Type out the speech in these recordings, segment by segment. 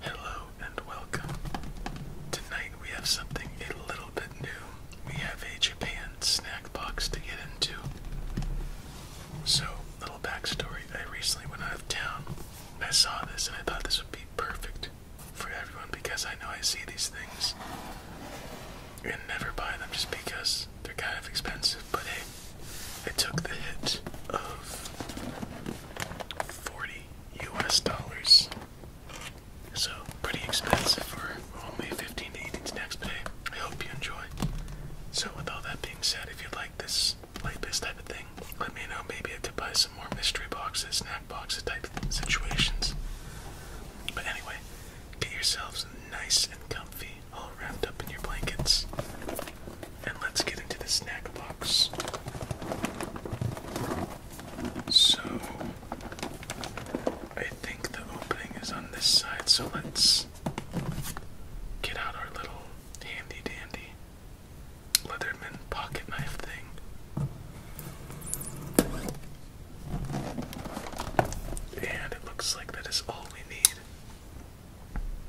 Hello and welcome. Tonight we have something a little bit new. We have a Japan snack box to get into. So, little backstory. I recently went out of town. I saw this and I thought this would be perfect for everyone because I know I see these things and never buy them just because they're kind of expensive. But hey, I took the hit of 40 US dollars. So, pretty expensive for only 15 to 18 snacks today. I hope you enjoy. So, with all that being said, if you like this like this type of thing, let me know. Maybe I could buy some more mystery boxes, snack boxes type situations. But anyway, get yourselves nice and comfy all wrapped up in your blankets. And let's get into the snack box. So, I think the opening is on this side, so let's get out our little handy dandy Leatherman pocket knife thing. And it looks like that is all we need.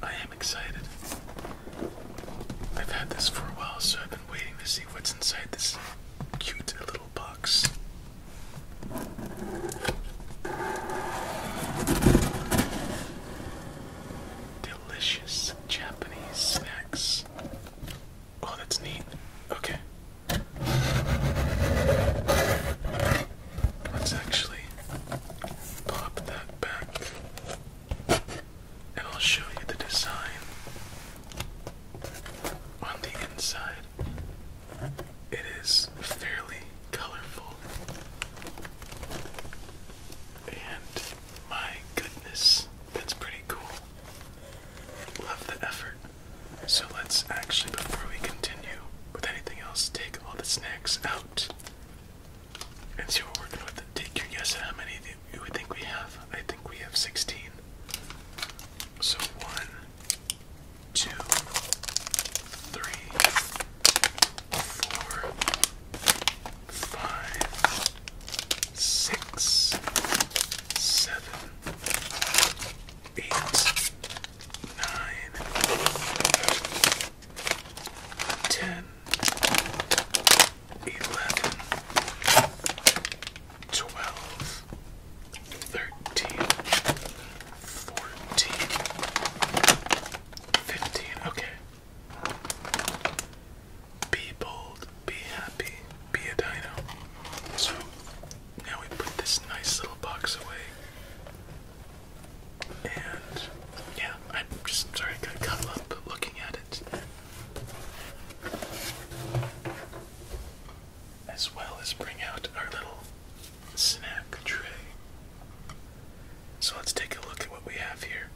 I am excited. I've had this for a while, so I've been waiting to see what's inside this cute little box. Delicious Japanese snacks. Oh, that's neat. Okay. Let's actually pop that back and I'll show you the design on the inside. It is fairly colorful. And my goodness, that's pretty cool. Love the effort. So let's actually, before we continue with anything else, take all the snacks out and see what we're working with. Take your guess at how many you would think we have. I think we have 16. So one, two, three, four, five, six, seven, eight, nine, 10, 11, 12, 13, 14, 15. Okay. Be bold, be happy, be a dino. So now we put this nice little box away. And yeah, I'm just sorry I got caught up looking at it. As well as bring out our little snack tray. So let's take a look at what we have here.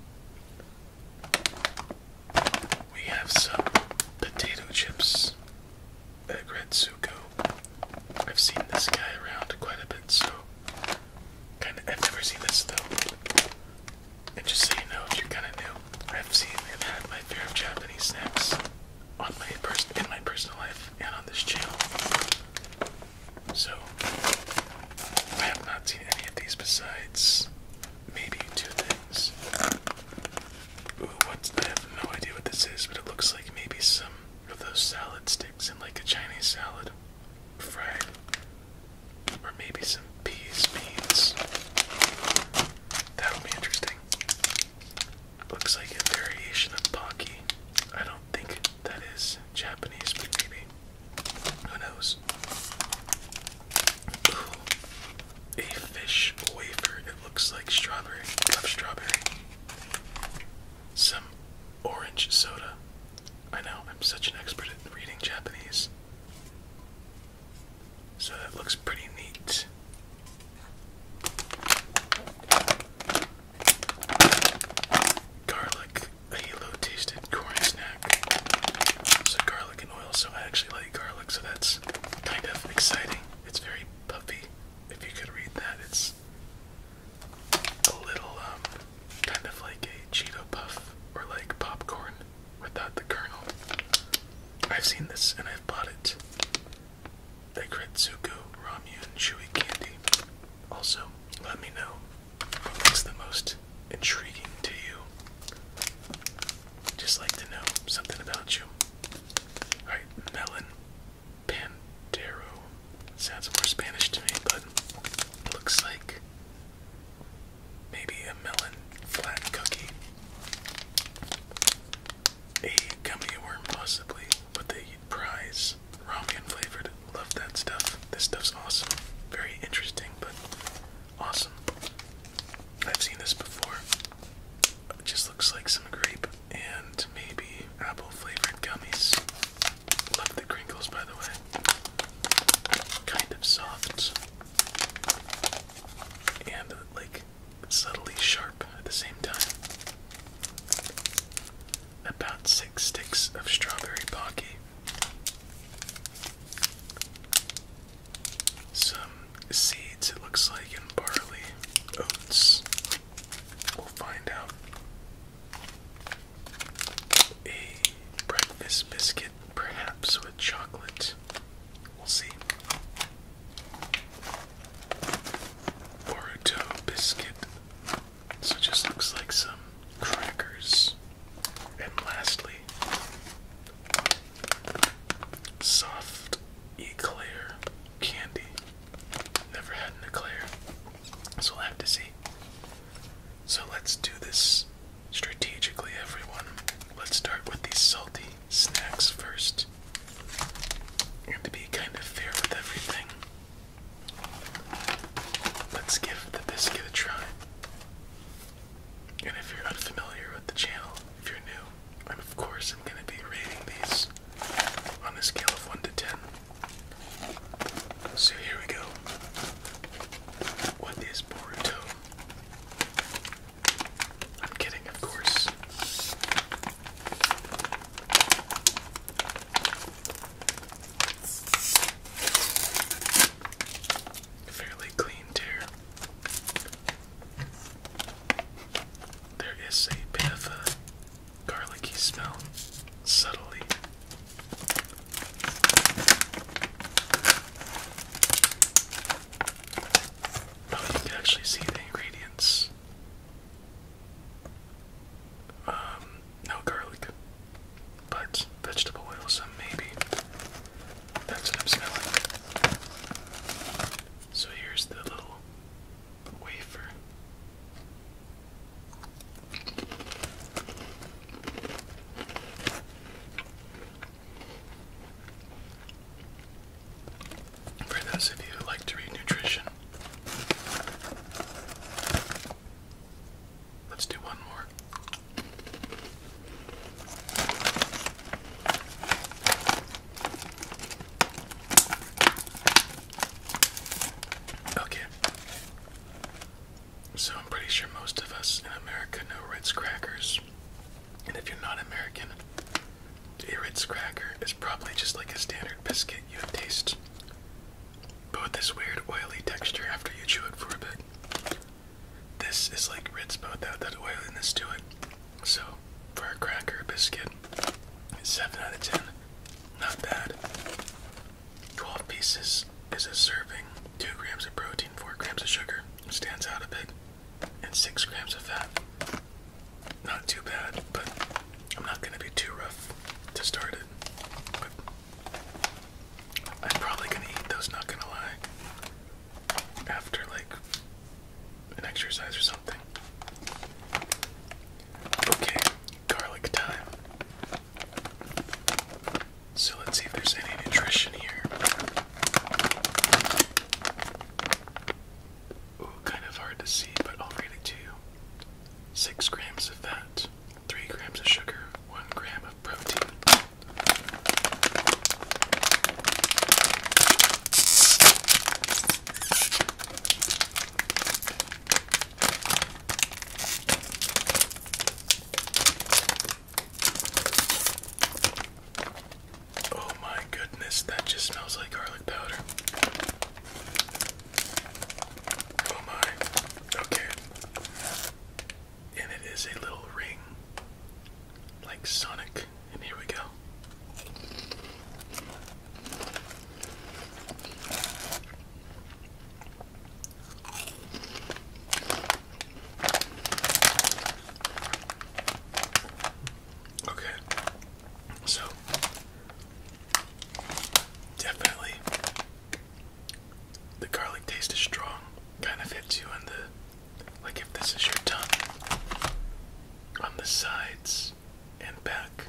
We have some potato chips at Red I've seen this guy around quite a bit, so Kind of, I've never seen this though. And just so you know, if you're kind of new, I've seen and had my fear of Japanese snacks on my in my personal life and on this channel. So I have not seen any of these besides maybe two things. Ooh, what's I have no idea what this is, but it looks like maybe some of those sticks breadsticks like a Chinese salad, fried, or maybe some peas, beans. That'll be interesting. Looks like a variation of pocky. I don't think that is Japanese, but maybe. Who knows? a fish wafer. It looks like strawberry. love strawberry. Some Orange soda. I know, I'm such an expert at reading Japanese. So that looks pretty neat. Garlic, halo tasted corn snack. So garlic and oil, so I actually like garlic, so that's kind of exciting. It's very puffy. If you could read that, it's a little um, kind of like a Cheeto puff or like popcorn without the kernel. I've seen this and I've bought it. The Kretsuko Ramyun Chewy Candy. Also, let me know what the most intriguing to you. Just like to know something about you. Alright, melon. Pandero. Sounds more Spanish to me, but looks like maybe a melon flat cookie. A gummy worm, possibly, but they prize ramen flavored. Love that stuff. This stuff's awesome. Very interesting, but awesome. I've seen this before. It just looks like some grape and maybe apple flavored gummies. Love the crinkles, by the way. Kind of soft and like subtly sharp at the same time. About six sticks of strawberry pocky. Some seeds, it looks like, and barley, oats. We'll find out a breakfast biscuit, perhaps with chocolate. We'll see. Boruto biscuit. So it just looks like some crackers. And lastly, soft eclair candy. Never had an eclair, so we'll have to see. So let's do this strategically, everyone. Let's start with these salty snacks first. You have to be kind of fair with everything. Let's give the biscuit a try. And if you're unfamiliar with the channel, if you're new, I'm of course I'm gonna be rating these on a scale of 1 to 10. So here we go. What is Boruto? I'm kidding, of course. Fairly clean tear. There is a bit garlicky smell subtly. Oh, you can actually see the ingredients. Um, no garlic, but vegetable oil, so maybe that's what I'm smelling. So here's the little wafer. For those of you who like to read nutrition, let's do one more. Okay. So I'm pretty sure most of us in America know Ritz crackers. And if you're not American, a Ritz cracker is probably just like a standard biscuit you have taste. But with this weird oily texture after you chew it for a bit. This is like Ritz but without that oiliness to it. So for a cracker biscuit, it's 7 out of 10. Not bad. 12 pieces is a serving, 2 grams of protein, 4 grams of sugar, stands out a bit, and 6 grams of fat. Not too bad, but I'm not going to be too rough to start it. But I'm probably going to eat those, not going to lie, after like an exercise or something. Okay, garlic time. So let's see if there's any nutrition here. Ooh, kind of hard to see, but I'll read it to you. 6 grams of fat, 3 grams of sugar, 1 gram of protein. Oh my goodness, that just smells like garlic powder. Oh my. Okay. And it is a little ring. Like Sonic. And here we go. Okay, so definitely the garlic taste is strong, kind of hits you on the like if this is your tongue on the sides and back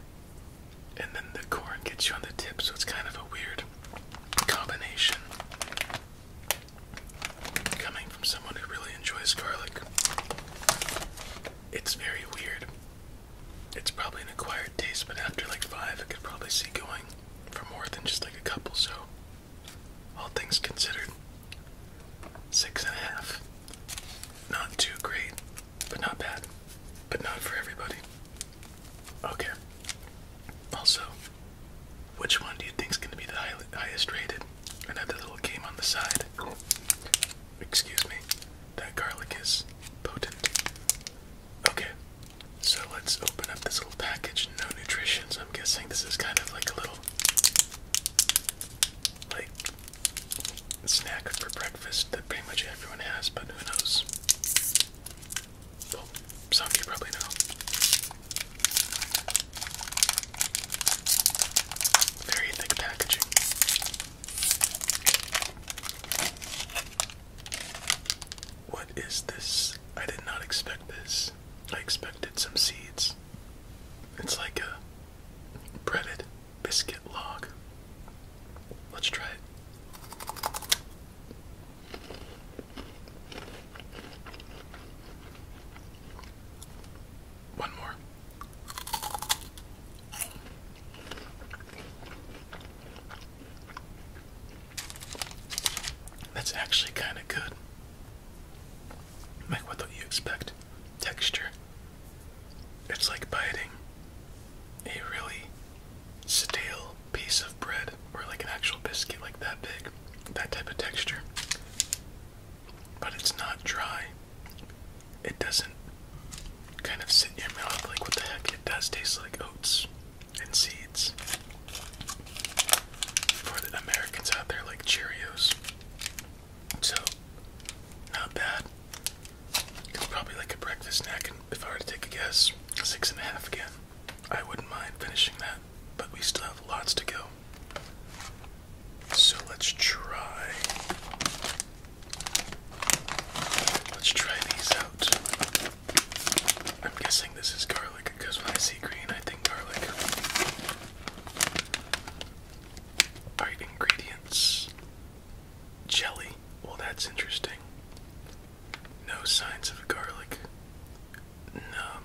and then the corn gets you on the tip, so it's kind of a weird combination. Coming from someone who really enjoys garlic, it's very weird. It's probably an acquired taste, but after like five, I could probably see going for more than just like a couple, so all things considered, six and a half. Not too great, but not bad, but not for everybody. Okay. Also, which one do you think is going to be the highest rated? Another little game on the side. Excuse me. That garlic is potent. Okay. So let's open up this little package. No nutrition. So I'm guessing this is kind of like a little, like snack for breakfast that pretty much everyone has, but who knows? Well, some of you probably know. Very thick packaging. What is this? I did not expect this. I expected some seeds. It's like a breaded biscuit log. Let's try it. One more. That's actually kind of good. Like, what do you expect? Texture. It's like biting a really stale piece of bread or like an actual biscuit like that big, that type of texture. But it's not dry. It doesn't kind of sit in your mouth like what the heck. It does taste like oats and seeds. For the Americans out there like Cheerios. So not bad probably like a breakfast snack, and if I were to take a guess, six and a half again. I wouldn't mind finishing that, but we still have lots to go. So let's try. Let's try these out. I'm guessing this is garlic because when I see green, I think garlic. Alright, ingredients Jelly. Well, that's interesting. No signs of garlic. Um,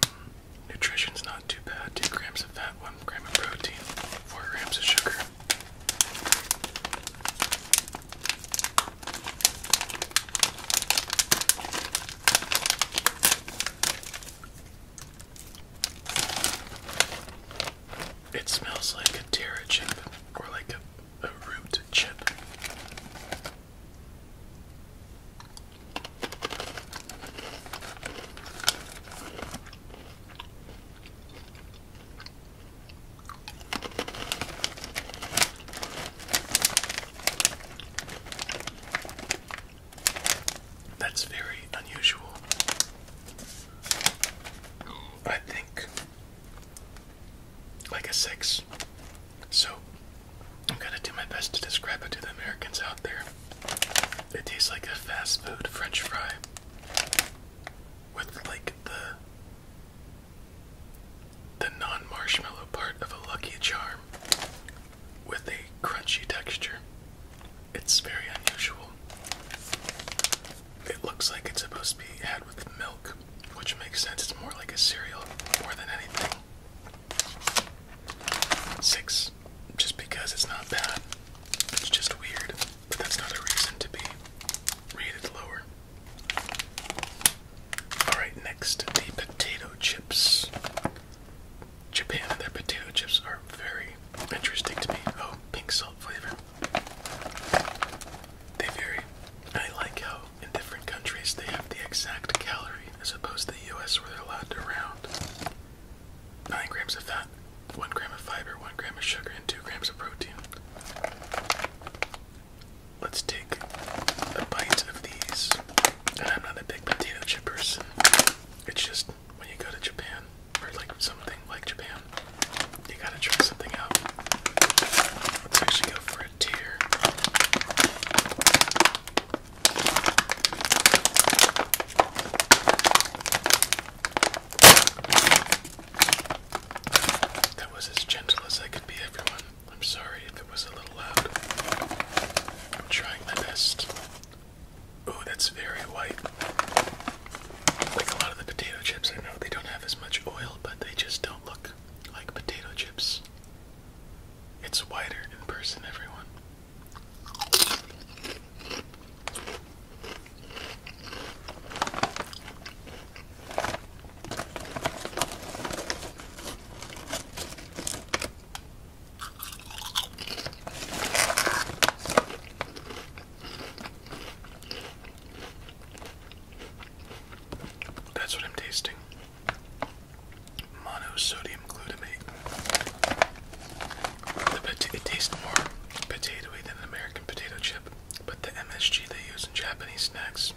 nutrition's not too bad. 2 grams of fat, 1 gram of protein, 4 grams of sugar. It smells like a Terra chip or like a a root chip. That's very unusual. I think like a six. So I'm gonna do my best to describe it to the Americans out there. It tastes like a fast food French fry with like the the non-marshmallow part of a Lucky Charm with a crunchy texture. It's very unusual. It looks like it's supposed to be had with milk, which makes sense. It's more like a cereal more than anything. Six, just because it's not bad. It's just weird, but that's not a reason to be rated lower. Alright, next, the potato chips. Japan and their potato chips are very interesting to me. Oh, pink salt flavor. They vary. I like how in different countries they have the exact calorie as opposed to the US where they're allowed to round. 9 grams of fat, 1 gram of fiber, 1 gram of sugar, and 2 grams of protein. Let's take a bite of these. And I'm not a big potato chip person. It's just when you go to Japan, or like something like Japan, you gotta try something out. Let's actually go for a tear. That was as gentle as I could be, everyone. I'm sorry if it was a little loud. I'm trying my best. Oh, that's very white. Like a lot of the potato chips, I know they don't have as much oil but they just don't look like potato chips. It's wider in person, everyone. That's what I'm tasting. Monosodium glutamate. The it tastes more potatoy than an American potato chip, but the MSG they use in Japanese snacks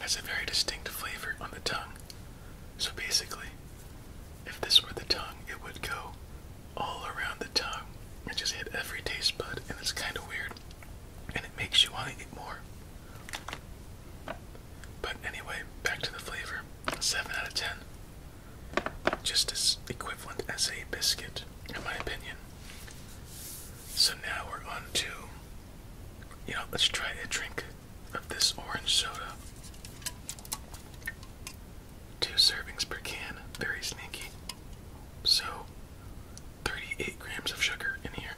has a very distinct flavor on the tongue. So basically, if this were the tongue, it would go all around the tongue and just hit every taste bud, and it's kind of weird and it makes you want to eat more. But anyway, back to the flavor. 7 out of 10. Just as equivalent as a biscuit, in my opinion. So now we're on to, you know, let's try a drink of this orange soda. Two servings per can, very sneaky. So 38 grams of sugar in here.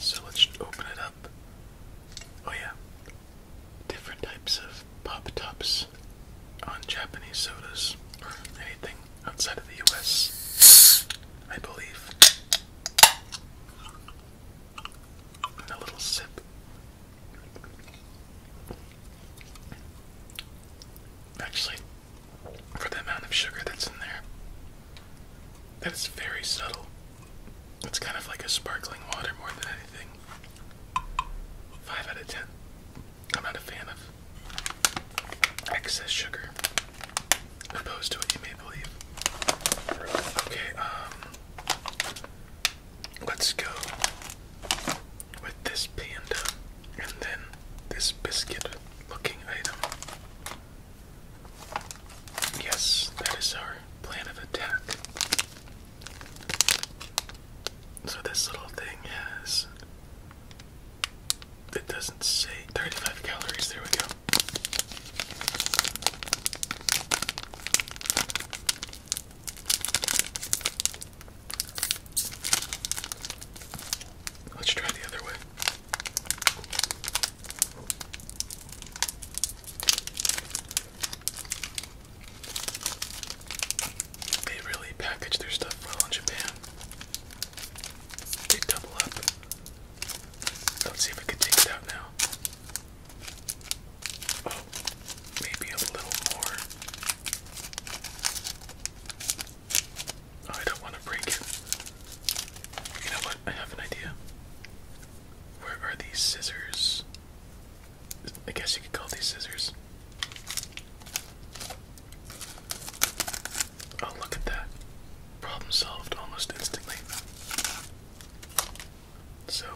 So let's open it up. Oh, yeah. Different types of pop tops on Japanese sodas or anything outside of the US, I believe. And a little sip actually, for the amount of sugar that's in there. That's very subtle. It's kind of like a sparkling water more than anything. 5 out of 10. I'm not a fan of excess sugar, opposed to what you may believe. Okay, um, let's go with this panda and then this biscuit looking item. Yes, that is our plan of attack. So this little thing has. It doesn't say 35 calories, there we go. Let's try the other way. They really package their stuff well in Japan. They double up. Let's see if I can take it out now. Oh, maybe a little more. Oh, I don't want to break it. You know what? I have an idea. Where are these scissors? I guess you could call these scissors. Oh, look at that. Problem solved almost instantly. So,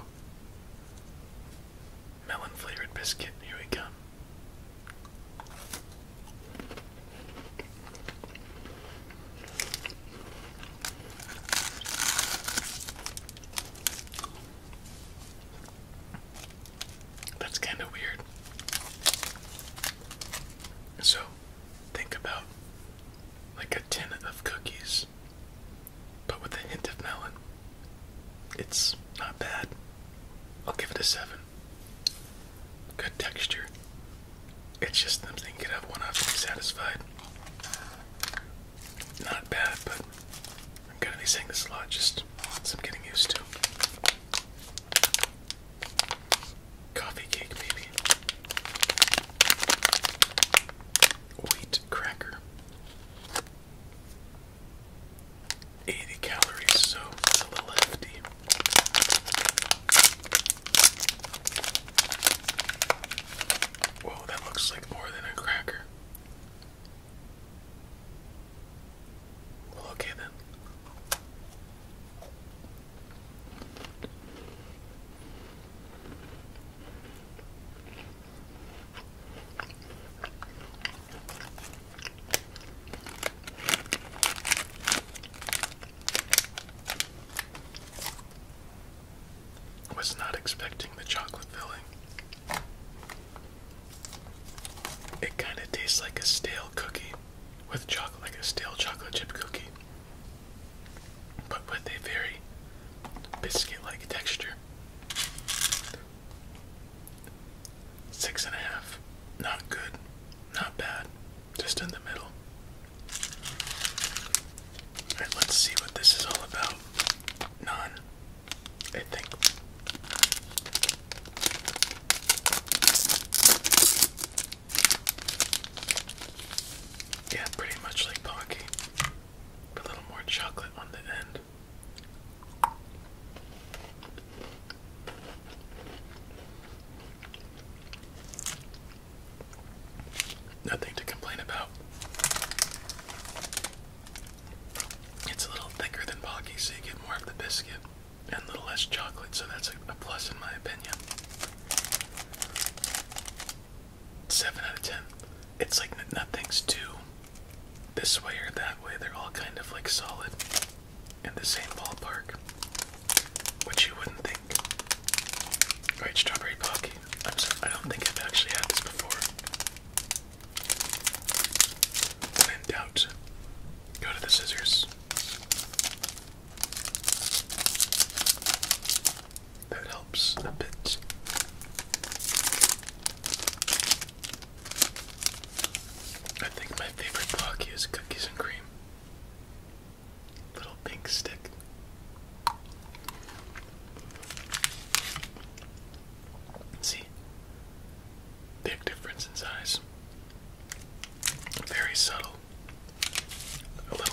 melon flavored biscuit, here we come. That's kind of weird. So, think about like a tin of cookies, but with a hint of melon. It's not bad. I'll give it a 7. Good texture. It's just something you could have one of and be satisfied. Not bad, but I'm gonna be saying this a lot, just some getting used to. Coffee cake, baby. Wheat cracker. 80 calories, so it's a little hefty. Whoa, that looks like more than a cracker. Well, okay then. Was not expecting the chocolate filling. It kind of tastes like a stale cookie with chocolate, like a stale chocolate chip cookie, but with a very biscuit like texture. Six and a half. Not good. Not bad. Just in the middle. Alright, let's see what this is all about. None. I think. Yeah, pretty much like Pocky. But a little more chocolate on the end. Nothing to complain about. It's a little thicker than Pocky, so you get more of the biscuit and a little less chocolate, so that's a, plus in my opinion. 7 out of 10. It's like nothing's too this way or that way, they're all kind of like solid in the same ballpark, which you wouldn't think. Alright, strawberry pocky. I'm sorry, I don't think I've actually had this before. When in doubt, go to the scissors. That helps a bit. I think my favorite blocky is cookies and cream. Little pink stick. See? Big difference in size. Very subtle. A little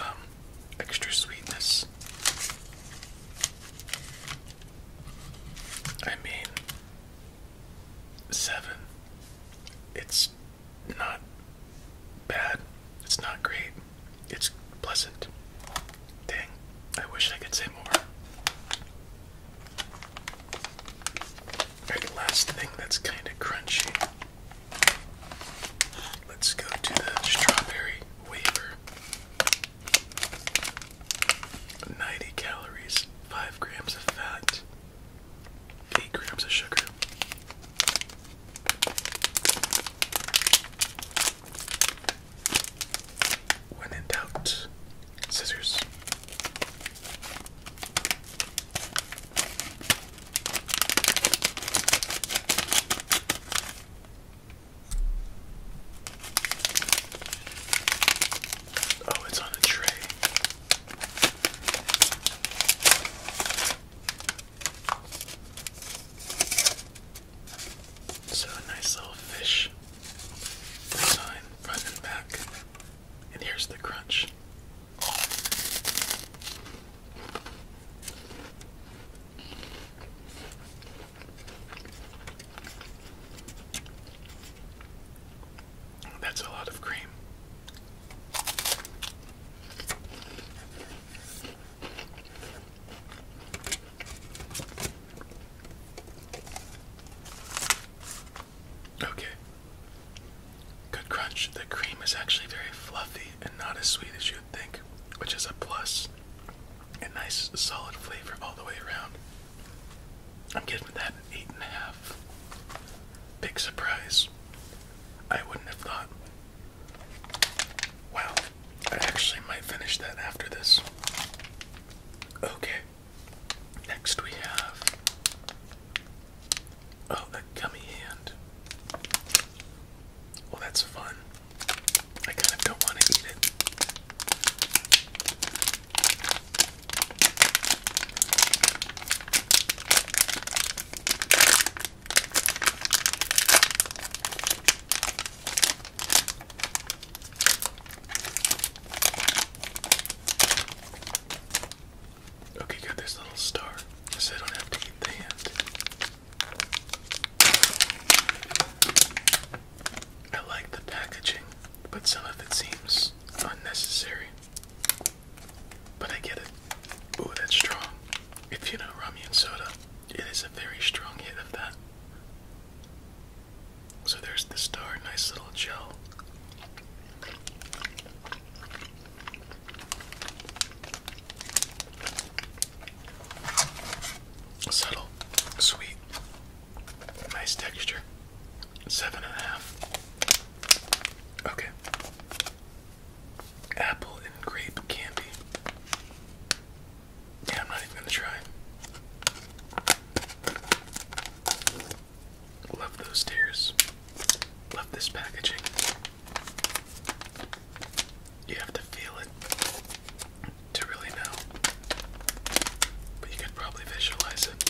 um, extra sweetness. I mean, seven. It's not bad. It's not great. It's pleasant. Dang, I wish I could say more. Alright, last thing that's kind of crunchy. Let's go to the strawberry wafer. 90 calories, 5 grams of fat, 8 grams of sugar. When in doubt, scissors. Oh, it's on a tray. So nice little fish design front and back. And here's the crunch. That's a lot of cream. Okay. Good crunch. The cream is actually very fluffy and not as sweet as you'd think, which is a plus. A nice solid flavor all the way around. I'm getting that eight and a half. Big surprise. I wouldn't have thought. Wow, I actually might finish that after this. Okay. Next we have Oh, a gummy hand. Well, that's fun. I kind of don't want to eat it. Okay, got this little star, so I don't have to eat the hand. I like the packaging, but some of it seems unnecessary. But I get it. Ooh, that's strong. If you know rum and Soda, it is a very strong hit of that. So there's the star, nice little gel. Subtle, sweet, nice texture. Seven and a half. Okay. Apple and grape candy. Yeah, I'm not even gonna try. Love those tears. Love this packaging. You have to feel it to really know. But you can probably visualize it.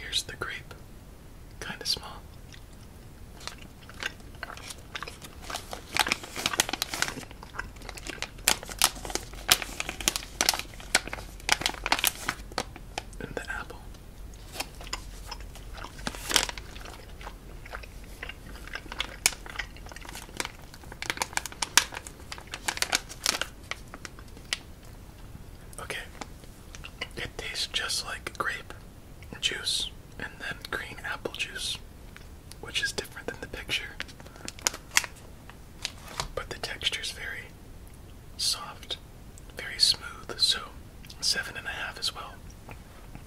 Here's the grape, kind of small. And the apple. Okay, it tastes just like grape juice and then green apple juice, which is different than the picture, but the texture is very soft, very smooth, so seven and a half as well.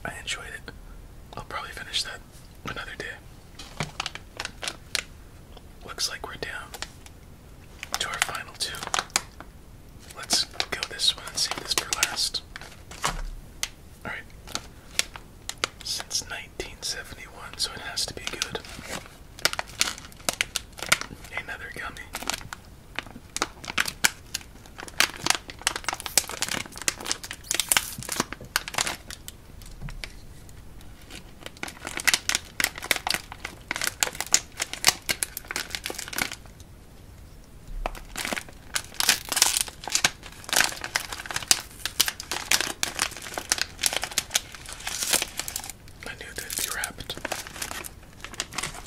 I enjoyed it. I'll probably finish that another day. Looks like we're down to our final two. Let's go this one and save this for last. Alright. Since 1971, so it has to be good. Another gummy. I knew they'd be wrapped.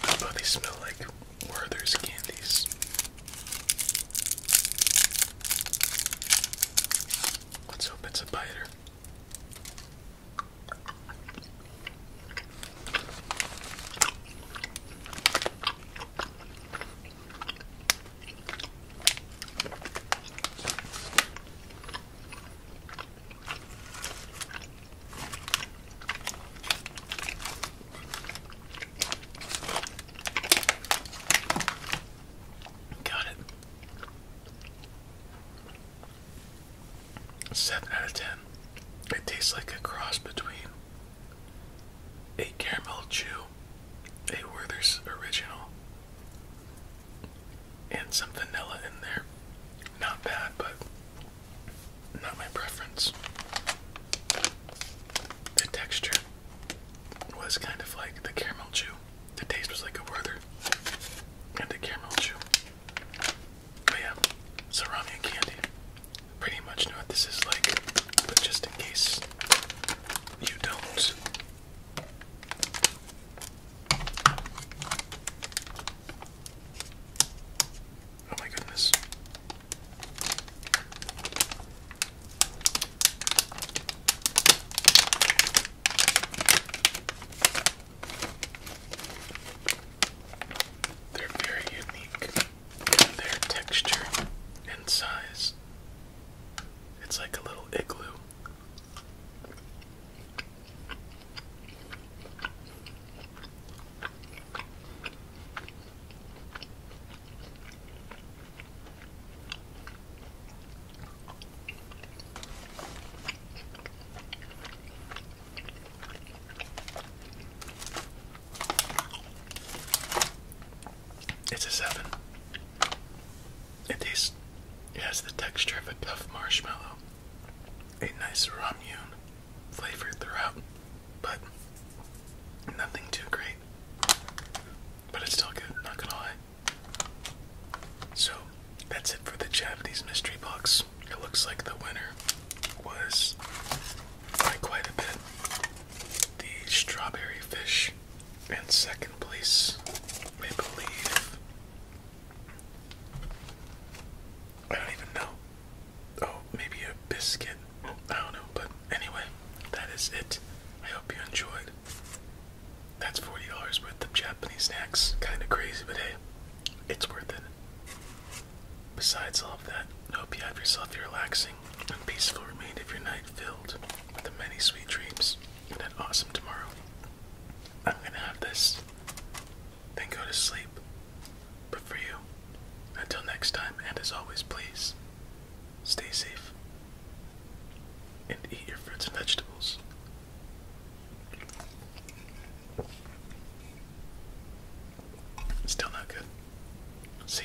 Although they smell like where Werther's candies. Let's hope it's a biter. Got it. Seven out of ten. It tastes like a cross between a caramel chew, a Werther's original, and some vanilla in there. Not bad, but not my preference. The texture was kind of like the caramel chew. The taste was like a Werther and the caramel chew. But yeah, Sarami and candy. Pretty much know what this is like, but just in case you don't. Oh my goodness. They're very unique in their texture and size. It's like a little igloo. It's a seven. It tastes, it has the texture of a tough marshmallow, a nice ramune flavor throughout, but nothing too great. But it's still good, not gonna lie. So that's it for the Japanese mystery box. It looks like the winner was by quite a bit the strawberry fish, and second place, maple leaf. I don't even know oh, maybe a biscuit. I don't know, but anyway, that is it. I hope you enjoyed. That's forty dollars worth of Japanese snacks. Kind of crazy, but hey, it's worth it. Besides all of that, I hope you have yourself a relaxing and peaceful remainder of your night filled with many sweet dreams and an awesome tomorrow. I'm gonna have this, then go to sleep, but for you, until next time, and as always, please stay safe and eat your fruits and vegetables. Still not good. See